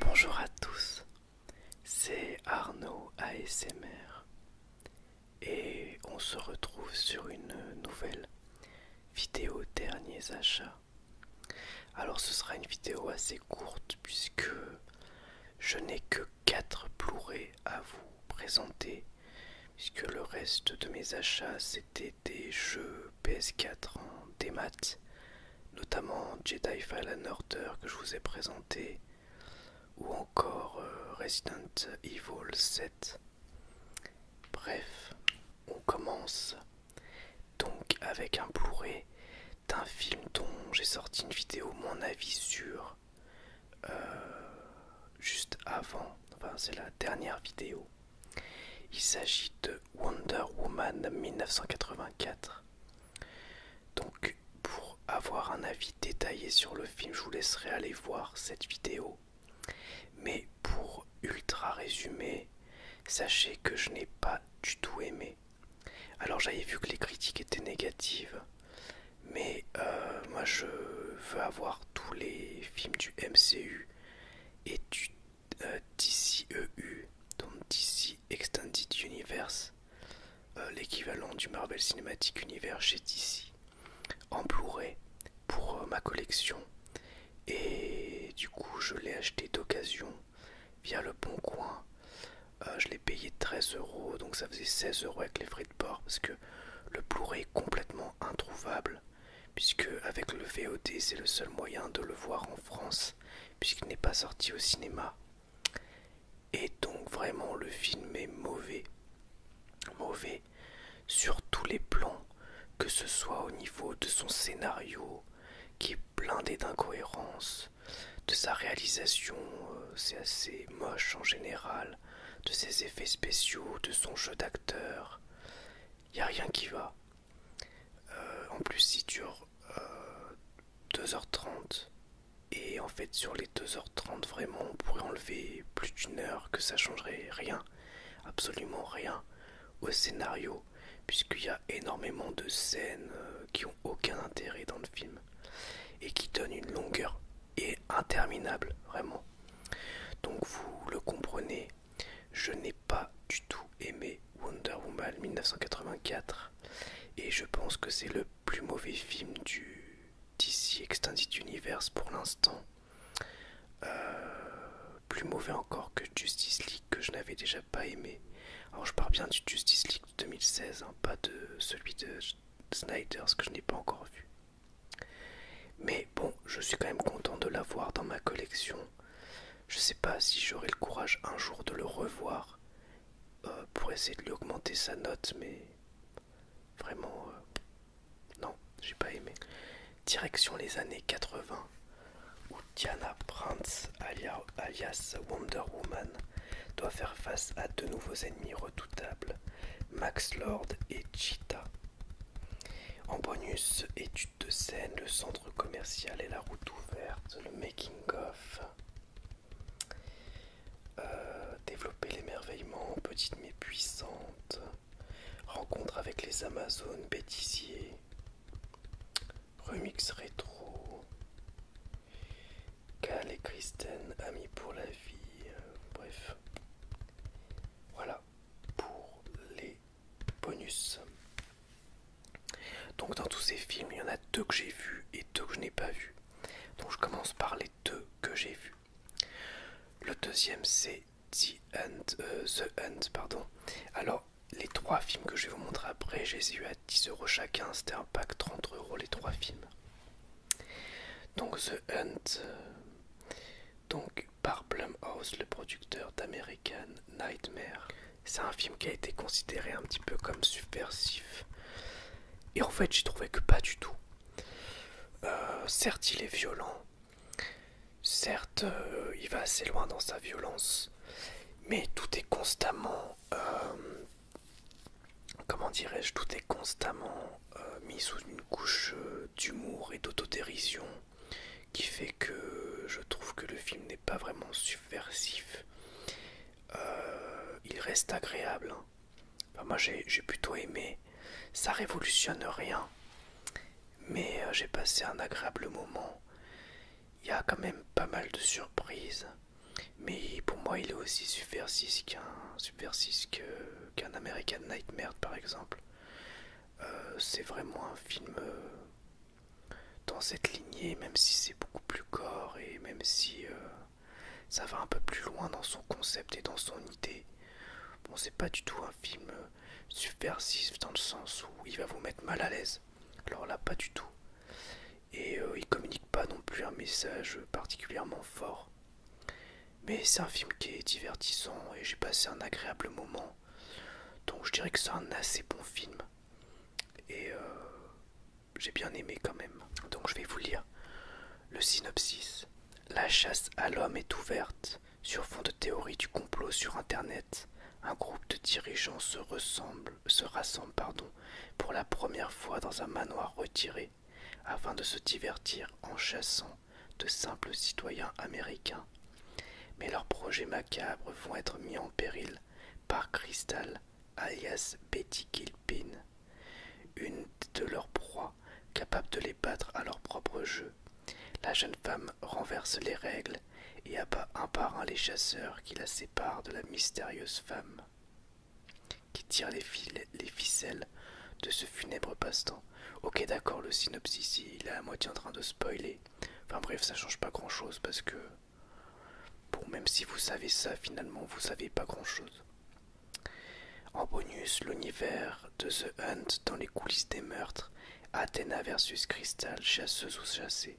Bonjour à tous, c'est Arnaud ASMR et on se retrouve sur une nouvelle vidéo derniers achats. Alors ce sera une vidéo assez courte puisque je n'ai que quatre blu à vous présenter, puisque le reste de mes achats c'était des jeux PS4 en démat, notamment Jedi Fallen Order que je vous ai présenté, ou encore euh, Resident Evil 7. Bref, on commence donc avec un Blu-ray d'un film dont j'ai sorti une vidéo, mon avis sur euh, juste avant, enfin c'est la dernière vidéo. Il s'agit de Wonder Woman 1984. Donc pour avoir un avis détaillé sur le film, je vous laisserai aller voir cette vidéo. Mais pour ultra résumé, sachez que je n'ai pas du tout aimé. Alors j'avais vu que les critiques étaient négatives, mais euh, moi je veux avoir tous les films du MCU et du DCEU, e donc DC Extended Universe, euh, l'équivalent du Marvel Cinematic Universe chez DC, en Blu-ray pour euh, ma collection. Et du coup, je l'ai acheté d'occasion via le Bon Coin euh, je l'ai payé 13 euros, donc ça faisait 16 euros avec les frais de port parce que le Blu-ray est complètement introuvable, puisque avec le VOD c'est le seul moyen de le voir en France, puisqu'il n'est pas sorti au cinéma. Et donc vraiment le film est mauvais, mauvais sur tous les plans, que ce soit au niveau de son scénario qui est blindé d'incohérences, de sa réalisation, euh, c'est assez moche en général, de ses effets spéciaux, de son jeu d'acteur. Il n'y a rien qui va. Euh, en plus, il dure 2h30. Euh, et en fait, sur les 2h30, vraiment, on pourrait enlever plus d'une heure que ça changerait rien, absolument rien au scénario, puisqu'il y a énormément de scènes qui ont aucun intérêt dans le film et qui donne une longueur et interminable, vraiment. Donc vous le comprenez, je n'ai pas du tout aimé Wonder Woman 1984 et je pense que c'est le plus mauvais film du DC Extended Universe pour l'instant. Euh, plus mauvais encore que Justice League que je n'avais déjà pas aimé. Alors je pars bien du Justice League 2016, hein, pas de celui de Snyder, ce que je n'ai pas encore vu. Mais bon, je suis quand même content de l'avoir dans ma collection. Je sais pas si j'aurai le courage un jour de le revoir euh, pour essayer de lui augmenter sa note, mais vraiment, euh, non, j'ai pas aimé. Direction les années 80, où Diana Prince, alias alias Wonder Woman, doit faire face à deux nouveaux ennemis redoutables, Max Lord et Cheetah. En bonus, étude de scène, le centre commercial et la route ouverte, le making of. Euh, développer l'émerveillement, petite mais puissante. Rencontre avec les Amazones, bêtisier. Remix rétro. Cal et Kristen, amis pour la vie, euh, bref. Voilà pour les bonus. Donc dans tous ces films, il y en a deux que j'ai vus et deux que je n'ai pas vus. Donc je commence par les deux que j'ai vus. Le deuxième c'est The End. Euh, The End, pardon. Alors les trois films que je vais vous montrer après, j'ai eu à dix euros chacun. C'était un pack trente euros les trois films. Donc The Hunt, donc par Blumhouse, le producteur d'American Nightmare. C'est un film qui a été considéré un petit peu comme subversif. Et en fait, j'y trouvais que pas du tout. Euh, certes, il est violent. Certes, euh, il va assez loin dans sa violence. Mais tout est constamment euh, comment dirais-je, tout est constamment euh, mis sous une couche euh, d'humour et d'autodérision qui fait que je trouve que le film n'est pas vraiment subversif. il reste agréable. Hein. moi j'ai plutôt aimé. Ça révolutionne rien. Mais j'ai passé un agréable moment il y a quand même pas mal de surprises. Mais pour moi, il est aussi subversif qu'un American Nightmare, par exemple. Euh, c'est vraiment un film euh, dans cette lignée, même si c'est beaucoup plus gore et même si euh, ça va un peu plus loin dans son concept et dans son idée. Bon, c'est pas du tout un film subversif dans le sens où il va vous mettre mal à l'aise. Alors là, pas du tout. Et euh, il communique pas non plus un message particulièrement fort. Mais c'est un film qui est divertissant et j'ai passé un agréable moment. Donc je dirais que c'est un assez bon film. Et euh, j'ai bien aimé quand même. Donc je vais vous lire le synopsis. La chasse à l'homme est ouverte sur fond de théorie du complot sur Internet un groupe de dirigeants se, rassemble pour la première fois dans un manoir retiré afin de se divertir en chassant de simples citoyens américains. Mais leurs projets macabres vont être mis en péril par Crystal, alias Betty Gilpin, une de leurs proies capable de les battre à leur propre jeu. La jeune femme renverse les règles et abat un par un les chasseurs qui la séparent de la mystérieuse femme qui tire les, ficelles de ce funèbre passe-temps. Ok d'accord, le synopsis il est à moitié en train de spoiler. Enfin bref, ça change pas grand-chose parce que... Bon, même si vous savez ça, finalement, vous savez pas grand-chose. En bonus, l'univers de The Hunt dans les coulisses des meurtres. Athéna versus Cristal chasseuse ou chassée.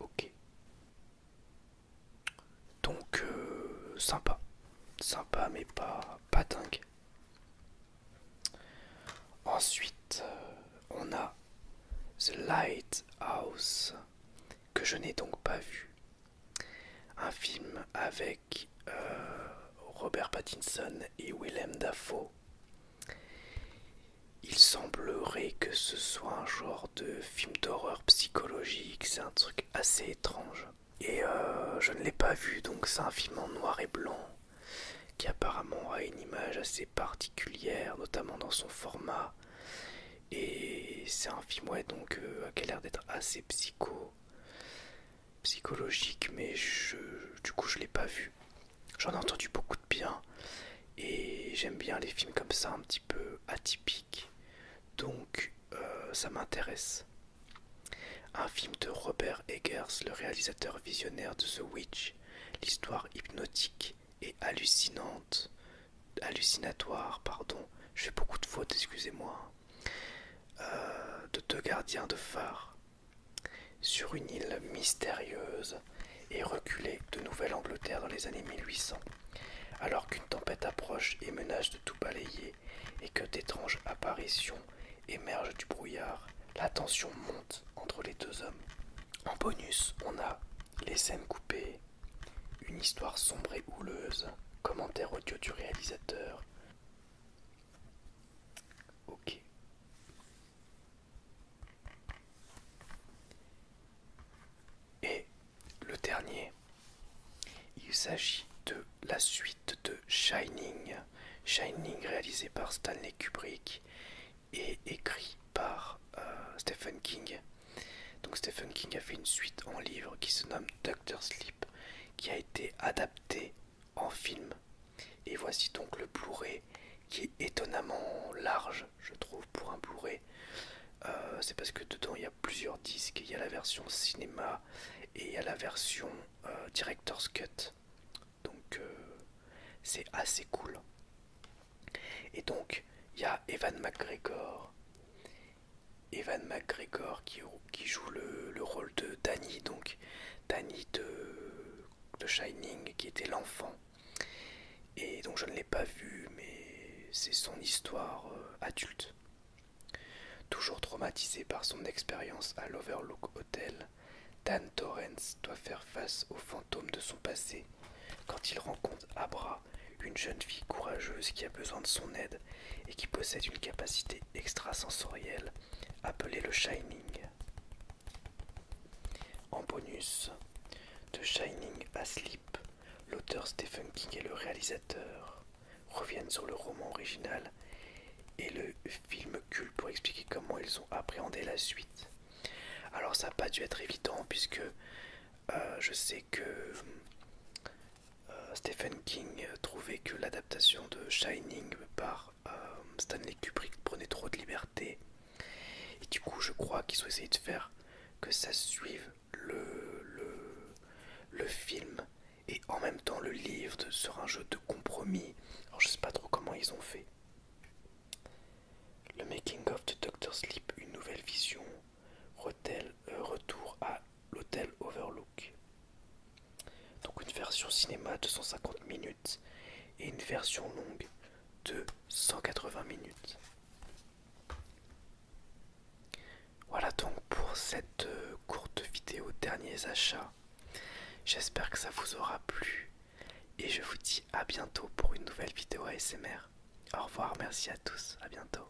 Ok. Donc euh, sympa. Sympa mais pas, pas dingue. Ensuite, euh, on a The Lighthouse, que je n'ai donc pas vu. Un film avec euh, Robert Pattinson et Willem Dafoe il semblerait que ce soit un genre de film d'horreur psychologique, c'est un truc assez étrange. Et euh, je ne l'ai pas vu, donc c'est un film en noir et blanc qui apparemment a une image assez particulière, notamment dans son format. Et c'est un film ouais, donc, euh, qui a l'air d'être assez psycho psychologique, mais je, du coup je l'ai pas vu. J'en ai entendu beaucoup de bien et j'aime bien les films comme ça, un petit peu atypiques. Donc euh, ça m'intéresse. Un film de Robert Eggers, le réalisateur visionnaire de The Witch, l'histoire hypnotique et hallucinante, hallucinatoire, pardon, je fais beaucoup de fautes, excusez-moi, euh, de deux gardiens de phare sur une île mystérieuse et reculée de Nouvelle-Angleterre dans les années 1800, alors qu'une tempête approche et menace de tout balayer et que d'étranges apparitions émergent du brouillard, la tension monte entre les deux hommes. En bonus, on a les scènes coupées, une histoire sombre et houleuse, commentaire audio du réalisateur, Ok. Et le dernier, il s'agit de la suite de Shining. Shining réalisé par Stanley Kubrick et écrit par euh, Stephen King. Donc Stephen King a fait une suite en livre qui se nomme Doctor Sleep, qui a été adaptée en film. Et voici donc le Blu-ray qui est étonnamment large, je trouve, pour un Blu-ray. Euh, c'est parce que dedans il y a plusieurs disques. Il y a la version cinéma et il y a la version euh, Director's Cut. Donc euh, c'est assez cool. Et donc il y a Evan McGregor. Evan McGregor qui qui joue le, rôle de Danny, donc Danny de, Shining, qui était l'enfant. Et donc je ne l'ai pas vu, mais c'est son histoire euh, adulte. Toujours traumatisé par son expérience à l'Overlook Hotel, Dan Torrance doit faire face aux fantômes de son passé quand il rencontre Abra, une jeune fille courageuse qui a besoin de son aide et qui possède une capacité extrasensoriel appelé le Shining. En bonus, de Shining à Sleep, l'auteur Stephen King et le réalisateur reviennent sur le roman original et le film culte pour expliquer comment ils ont appréhendé la suite. Alors ça n'a pas dû être évident puisque euh, je sais que euh, Stephen King euh, trouvait que l'adaptation de Shining par euh, Stanley Kubrick prenait trop de liberté. Et du coup, je crois qu'ils ont essayé de faire que ça suive le, film et en même temps le livre sur un jeu de compromis. Alors, je sais pas trop comment ils ont fait. Le making of de Doctor Sleep, une nouvelle vision, retour à l'hôtel Overlook. Donc une version cinéma de 150 minutes et une version longue de 180 minutes. Voilà donc pour cette euh, courte vidéo derniers achats. J'espère que ça vous aura plu et je vous dis à bientôt pour une nouvelle vidéo ASMR. Au revoir, merci à tous, à bientôt.